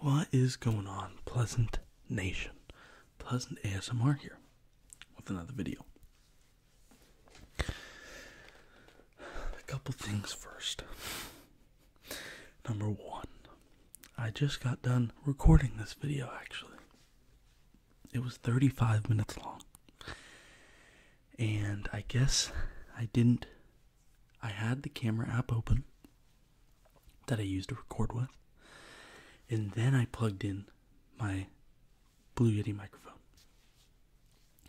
What is going on, Pleasant Nation? Pleasant ASMR here with another video. A couple things first. Number one, I just got done recording this video actually. It was 35 minutes long. And I guess I didn't I had the camera app open that I used to record with, and then I plugged in my Blue Yeti microphone.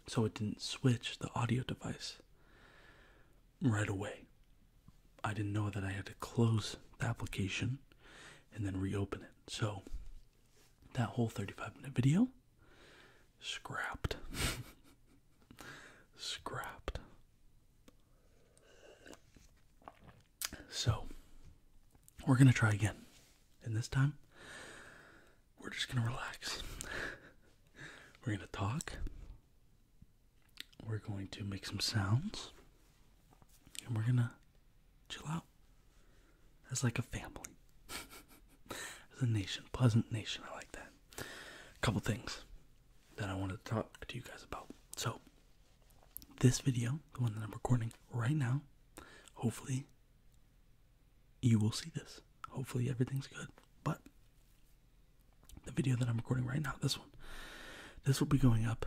So it didn't switch the audio device right away. I didn't know that I had to close the application and then reopen it. So that whole 35 minute video Scrapped. Scrapped. So, we're going to try again. And this time, we're just going to relax. we're going to talk. We're going to make some sounds. And we're going to chill out as like a family. as a nation, pleasant nation, I like that couple things that I want to talk to you guys about. So, this video, the one that I'm recording right now, hopefully you will see this. Hopefully everything's good. But the video that I'm recording right now, this one, this will be going up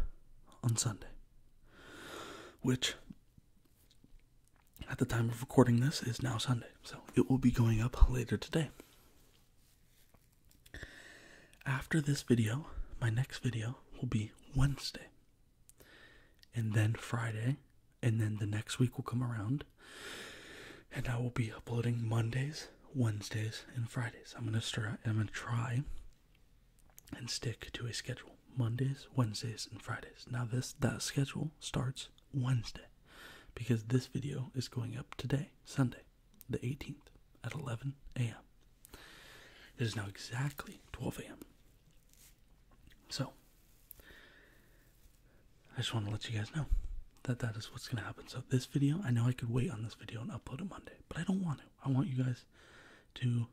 on Sunday. Which at the time of recording this is now Sunday. So it will be going up later today. After this video, my next video will be Wednesday, and then Friday, and then the next week will come around, and I will be uploading Mondays, Wednesdays, and Fridays. I'm gonna try and stick to a schedule: Mondays, Wednesdays, and Fridays. Now this that schedule starts Wednesday because this video is going up today, Sunday, the 18th at 11 a.m. It is now exactly 12 a.m. So, I just want to let you guys know that that is what's going to happen. So, this video, I know I could wait on this video and upload it Monday, but I don't want to. I want you guys to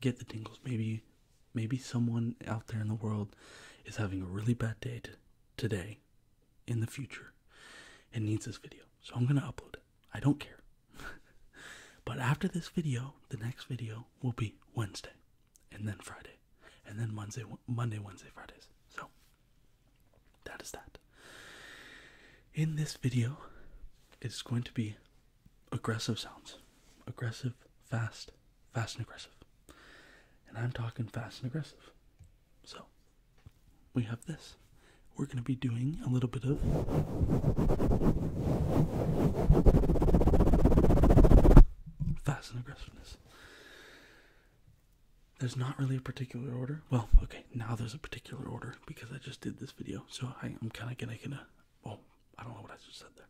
get the tingles. Maybe, maybe someone out there in the world is having a really bad day today in the future, it needs this video. So I'm going to upload it. I don't care. but after this video, the next video will be Wednesday and then Friday and then Monday, Monday, Wednesday, Fridays. So that is that. In this video, it's going to be aggressive sounds. Aggressive, fast, fast and aggressive. And I'm talking fast and aggressive. So we have this. We're going to be doing a little bit of fast and aggressiveness. There's not really a particular order. Well, okay, now there's a particular order because I just did this video. So I, am kind of going to, well, I don't know what I just said there.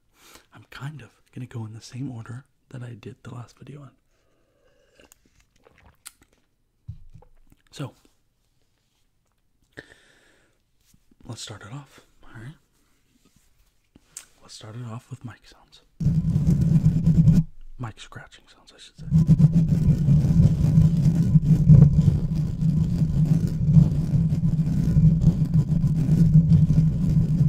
I'm kind of going to go in the same order that I did the last video on. So, let's start it off. All right. Let's start it off with mic sounds. Mic scratching sounds, I should say.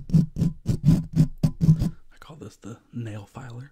I call this the nail filer.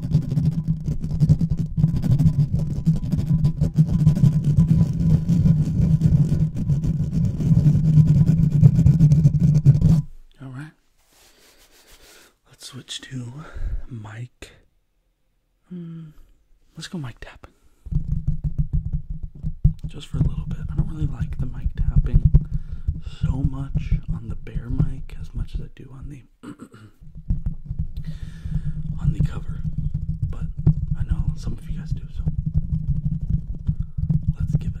All right. Let's switch to Mike. Hmm, let's go Mike tapping. Just for a little bit. I don't really like the mic tapping so much on the bare mic as much as I do on the on the cover, but I know some of you guys do, so let's give it.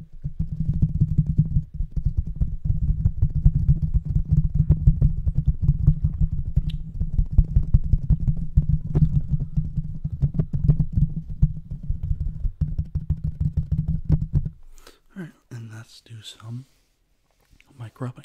All right, and let's do some mic rubbing.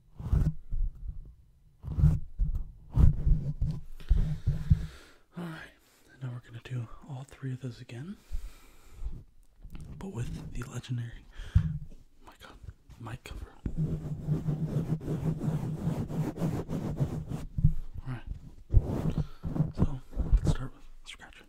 Alright, now we're going to do all three of those again, but with the legendary mic cover. Alright, so let's start with scratching.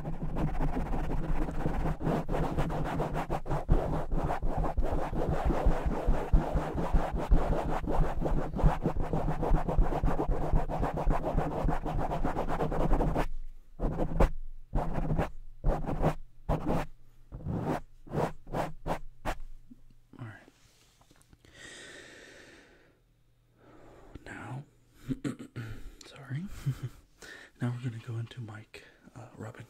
All right. Now Sorry. now we're going to go into Mike uh, Robin.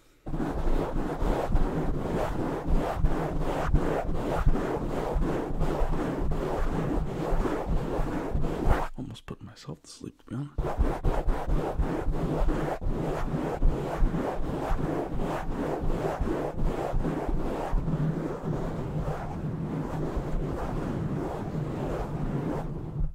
Almost put myself to sleep, to be honest.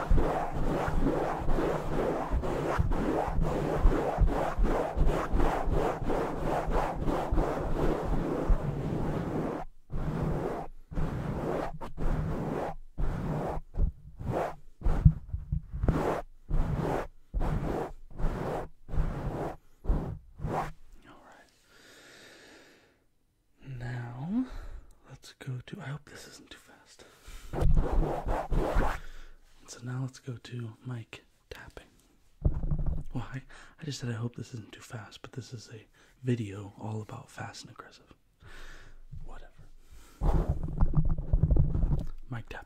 All right. Now, let's go to. I hope this isn't too so now let's go to Mike tapping. Why? I just said I hope this isn't too fast, but this is a video all about fast and aggressive. Whatever. Mic tap.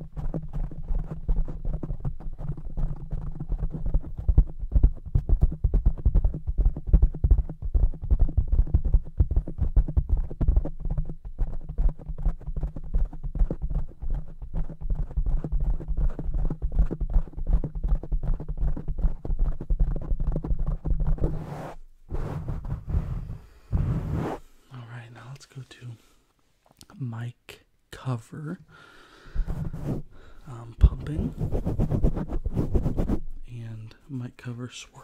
All right, now let's go to mic cover um, pumping and mic cover swirling.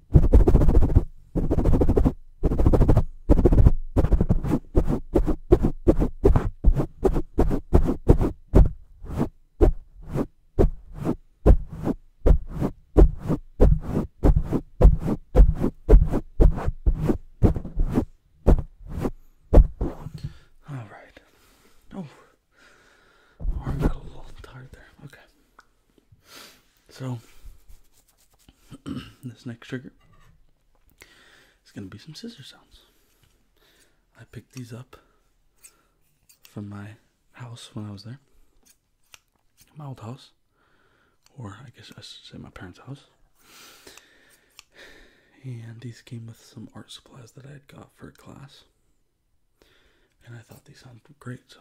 All right. Oh, arm got a little tired there. Okay. So, this next trigger is going to be some scissor sounds. I picked these up from my house when I was there. My old house, or I guess I should say my parents' house. And these came with some art supplies that I had got for class. And I thought these sounded great, so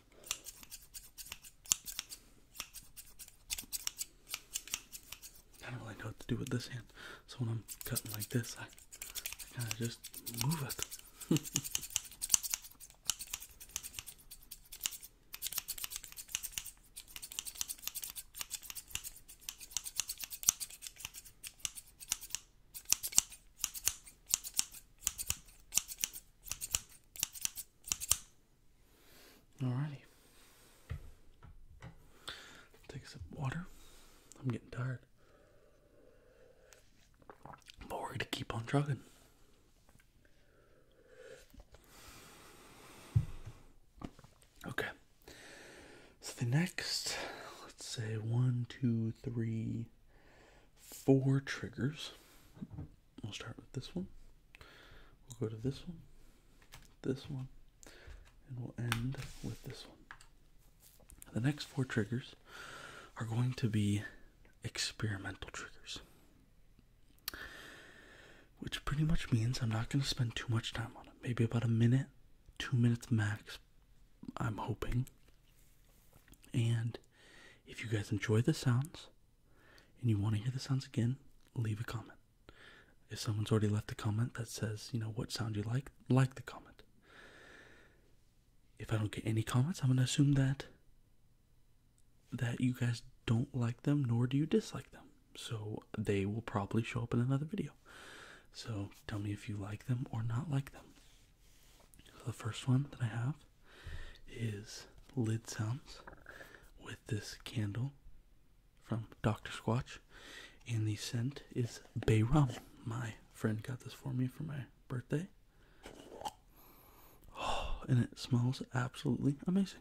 I don't really know what to do with this hand, so when I'm cutting like this, I, I kind of just move it. Alrighty. Take a sip water. I'm getting tired. But we're going to keep on trucking. Okay. So the next, let's say one, two, three, four triggers. We'll start with this one. We'll go to this one, this one, and we'll end with this one. The next four triggers are going to be experimental triggers, which pretty much means I'm not going to spend too much time on it. Maybe about a minute, two minutes max, I'm hoping. And if you guys enjoy the sounds, and you want to hear the sounds again, leave a comment. If someone's already left a comment that says, you know, what sound you like, like the comment. If I don't get any comments, I'm going to assume that that you guys don't like them nor do you dislike them. So they will probably show up in another video. So tell me if you like them or not like them the first one that I have is lid sounds with this candle from Dr. Squatch, and the scent is bay rum. My friend got this for me for my birthday. Oh, and it smells absolutely amazing.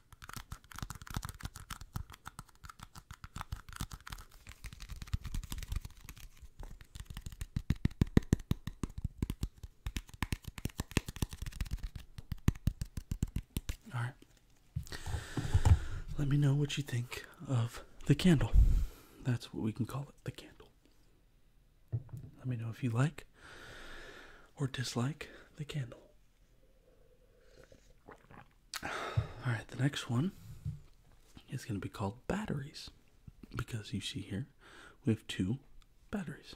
All right. Let me know what you think of the candle. That's what we can call it, the candle. Let me know if you like or dislike the candle. All right, the next one is going to be called batteries because you see here we have two batteries.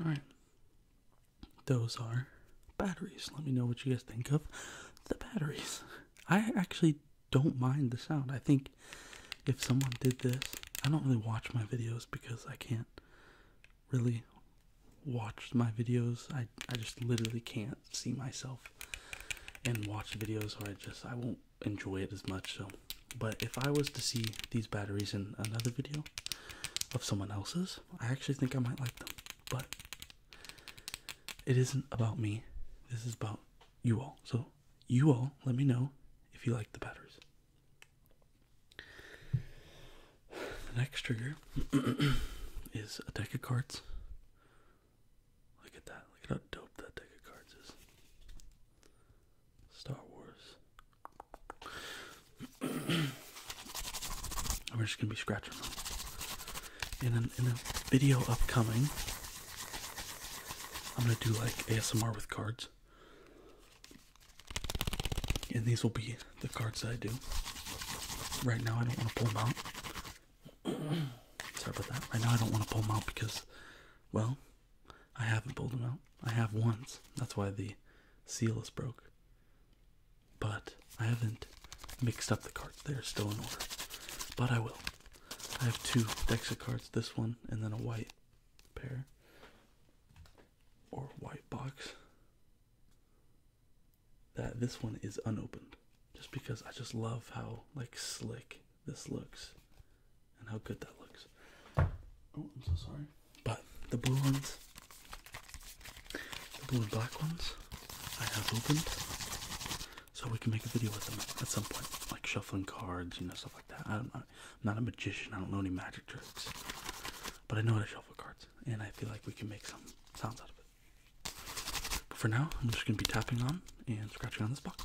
All right. Those are batteries. Let me know what you guys think of the batteries. I actually don't mind the sound. I think if someone did this, I don't really watch my videos because I can't really watch my videos. I I just literally can't see myself and watch videos or I just I won't enjoy it as much so but if I was to see these batteries in another video of someone else's, I actually think I might like them. But it isn't about me. This is about you all. So you all let me know if you like the batteries. The next trigger is a deck of cards. Look at that. Look at how dope that deck of cards is. Star Wars. I'm just gonna be scratching in, a video upcoming. I'm gonna do like ASMR with cards, and these will be the cards that I do. Right now, I don't want to pull them out. Sorry about that. Right now, I don't want to pull them out because, well, I haven't pulled them out. I have once. That's why the seal is broke. But I haven't mixed up the cards. They're still in order. But I will. I have two decks cards, this one and then a white pair or white box. That this one is unopened just because I just love how like slick this looks and how good that looks. Oh, I'm so sorry. But the blue ones, the blue and black ones, I have opened so we can make a video with them at some point, like shuffling cards, you know, stuff like that. I'm not, a magician. I don't know any magic tricks, but I know how to shuffle cards, and I feel like we can make some sounds out of it. But for now, I'm just gonna be tapping on and scratching on this box.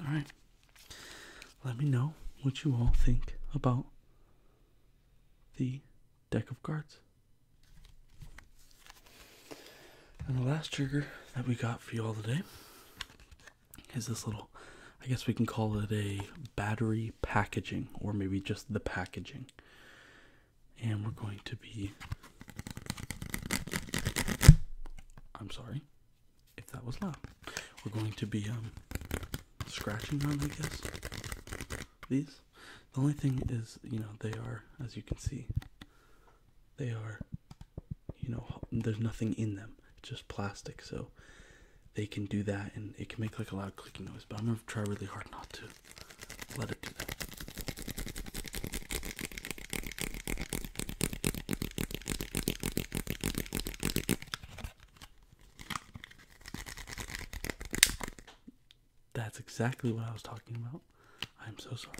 All right. Let me know what you all think about the deck of cards. And the last trigger that we got for you all today is this little, I guess we can call it a battery packaging, or maybe just the packaging. And we're going to be, I'm sorry if that was loud. We're going to be um, scratching on, I guess, these. The only thing is, you know, they are, as you can see, they are, you know, there's nothing in them, just plastic. So they can do that and it can make like a loud clicking noise. But I'm gonna try really hard not to let it do that. That's exactly what I was talking about. I'm so sorry.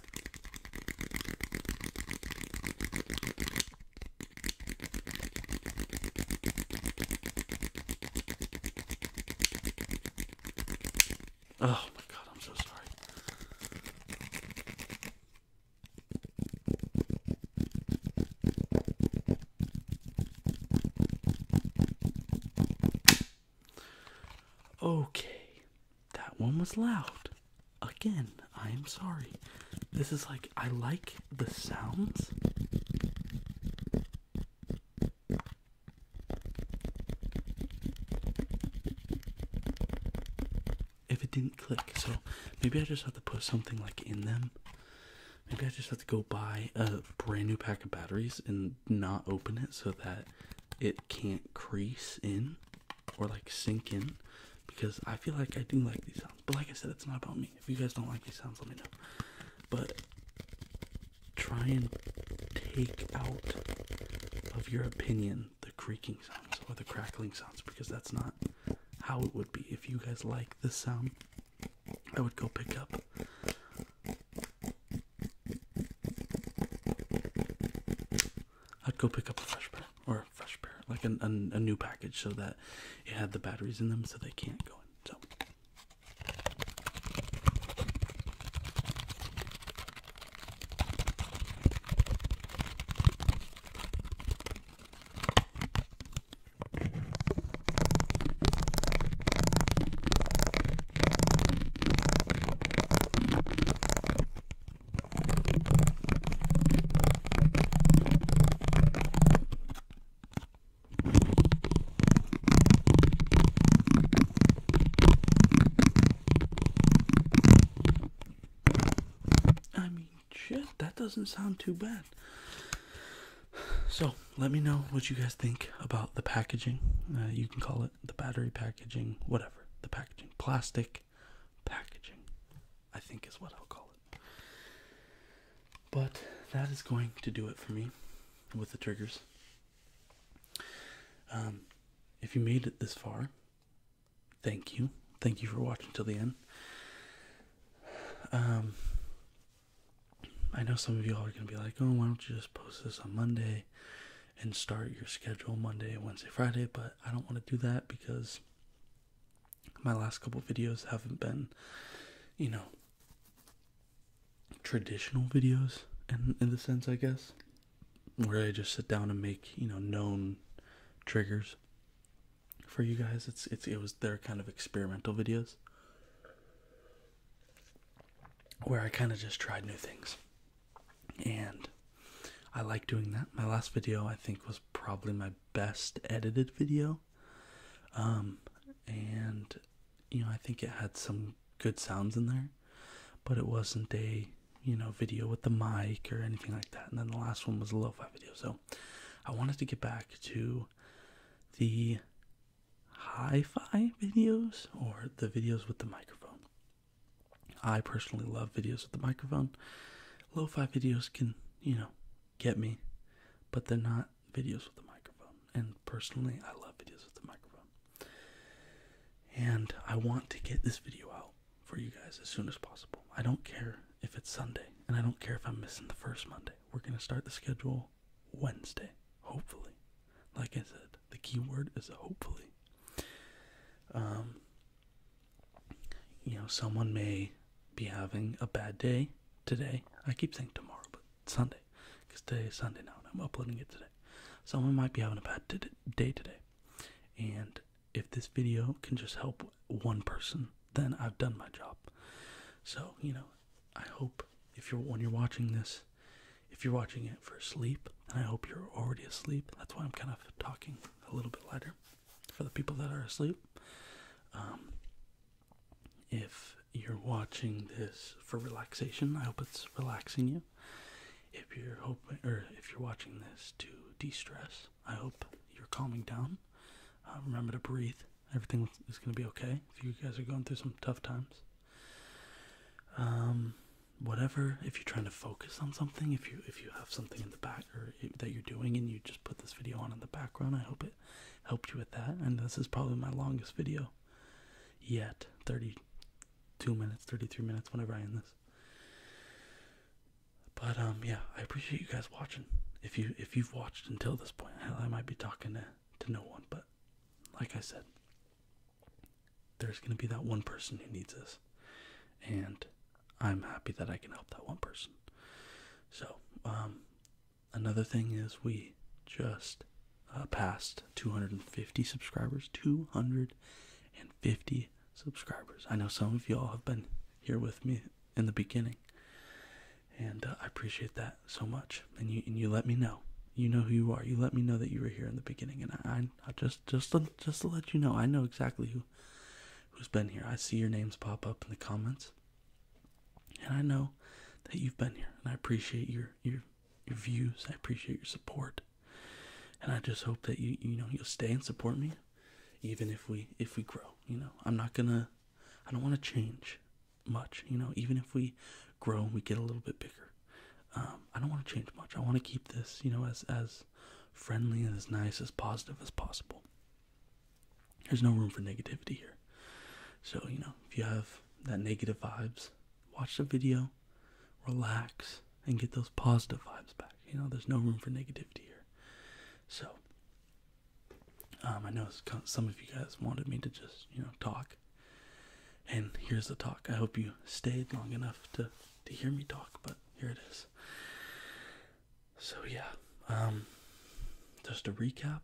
Oh my god, I'm so sorry. Okay, that one was loud. Again, I am sorry. This is like, I like the sounds. If it didn't click, so maybe I just have to put something like in them. Maybe I just have to go buy a brand new pack of batteries and not open it so that it can't crease in or like sink in because I feel like I do like these sounds. But like I said, it's not about me. If you guys don't like these sounds, let me know. But try and take out of your opinion the creaking sounds or the crackling sounds because that's not how it would be. If you guys like this sound, I would go pick up I'd go pick up a fresh pair or a fresh pair, like an, a new package, so that it had the batteries in them, so they can't go in. I mean, shit, that doesn't sound too bad. So, let me know what you guys think about the packaging. Uh, you can call it the battery packaging, whatever, the packaging, plastic packaging, I think is what I'll call it. But that is going to do it for me with the triggers. Um, if you made it this far, thank you. Thank you for watching till the end. Um, I know some of you all are going to be like, oh, why don't you just post this on Monday and start your schedule Monday, Wednesday, Friday? But I don't want to do that because my last couple videos haven't been, you know, traditional videos in, in the sense, I guess, where I just sit down and make, you know, known triggers for you guys. It's, it's, it was their kind of experimental videos where I kind of just tried new things. And I like doing that. My last video, I think, was probably my best edited video. Um, and, you know, I think it had some good sounds in there, but it wasn't a, you know, video with the mic or anything like that. And then the last one was a low fi video. So I wanted to get back to the hi-fi videos or the videos with the microphone. I personally love videos with the microphone. Lo-fi videos can, you know, get me, but they're not videos with the microphone. And personally, I love videos with the microphone. And I want to get this video out for you guys as soon as possible. I don't care if it's Sunday, and I don't care if I'm missing the first Monday. We're going to start the schedule Wednesday, hopefully. Like I said, the key word is hopefully. Um, you know, someone may be having a bad day today. I keep saying tomorrow, but Sunday, because today is Sunday now, and I'm uploading it today. Someone might be having a bad day today, and if this video can just help one person, then I've done my job. So, you know, I hope if you're when you're watching this, if you're watching it for sleep, and I hope you're already asleep. That's why I'm kind of talking a little bit lighter for the people that are asleep. Um, if you're watching this for relaxation, I hope it's relaxing you. If you're hoping, or if you're watching this to de-stress, I hope you're calming down. Uh, remember to breathe. Everything is going to be okay. If you guys are going through some tough times, um whatever if you're trying to focus on something if you if you have something in the back or that you're doing and you just put this video on in the background i hope it helped you with that and this is probably my longest video yet 32 minutes 33 minutes whenever i end this but um yeah i appreciate you guys watching if you if you've watched until this point i might be talking to no one but like i said there's going to be that one person who needs us, And I'm happy that I can help that one person. So, um, another thing is we just uh, passed 250 subscribers. 250 subscribers. I know some of y'all have been here with me in the beginning, and uh, I appreciate that so much, and you and you let me know. You know who you are. You let me know that you were here in the beginning, and I, just just just to let you know, I know exactly who who's been here. I see your names pop up in the comments, and I know that you've been here, and I appreciate your your your views. I appreciate your support, and I just hope that you you know you'll stay and support me, even if we if we grow. You know, I'm not gonna. I don't want to change much. You know, even if we grow we get a little bit bigger, um, I don't want to change much. I want to keep this, you know, as as friendly and as nice as positive as possible. There's no room for negativity here. So you know, if you have that negative vibes, watch the video, relax, and get those positive vibes back. You know, there's no room for negativity here. So. Um, I know some of you guys wanted me to just, you know, talk and here's the talk. I hope you stayed long enough to to hear me talk, but here it is. So yeah, um, just a recap,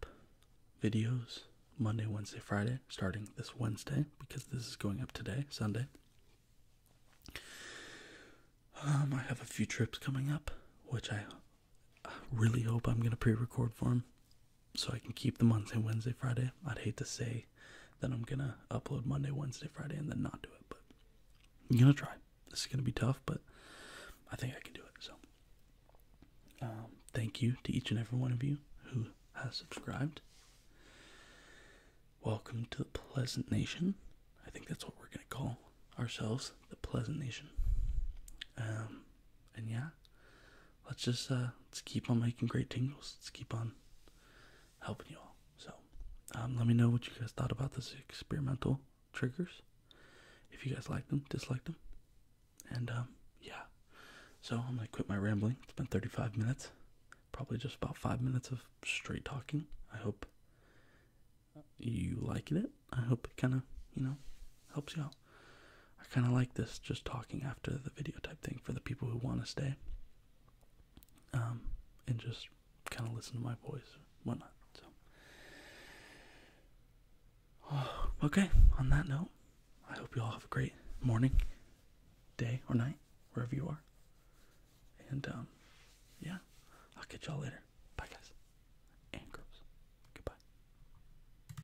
videos Monday, Wednesday, Friday, starting this Wednesday, because this is going up today, Sunday. Um, I have a few trips coming up, which I really hope I'm gonna pre-record for them so I can keep the Monday, Wednesday, Friday. I'd hate to say that I'm gonna upload Monday, Wednesday, Friday, and then not do it, but I'm gonna try. This is gonna be tough, but I think I can do it. So, um, thank you to each and every one of you who has subscribed. Welcome to the Pleasant Nation. I think that's what we're gonna call ourselves, the Pleasant Nation. Um, and yeah, let's just uh, let's keep on making great tingles. Let's keep on helping you all. So, um, let me know what you guys thought about this experimental triggers. If you guys like them, dislike them, and um, yeah. So I'm gonna quit my rambling. It's been 35 minutes, probably just about five minutes of straight talking. I hope you liking it. I hope it kind of you know helps you out. I kind of like this just talking after the video type thing for the people who want to stay um, and just kind of listen to my voice, whatnot. So, okay, on that note, I hope you all have a great morning, day, or night, wherever you are. And, um, yeah, I'll catch y'all later. Bye, guys. And girls. Goodbye.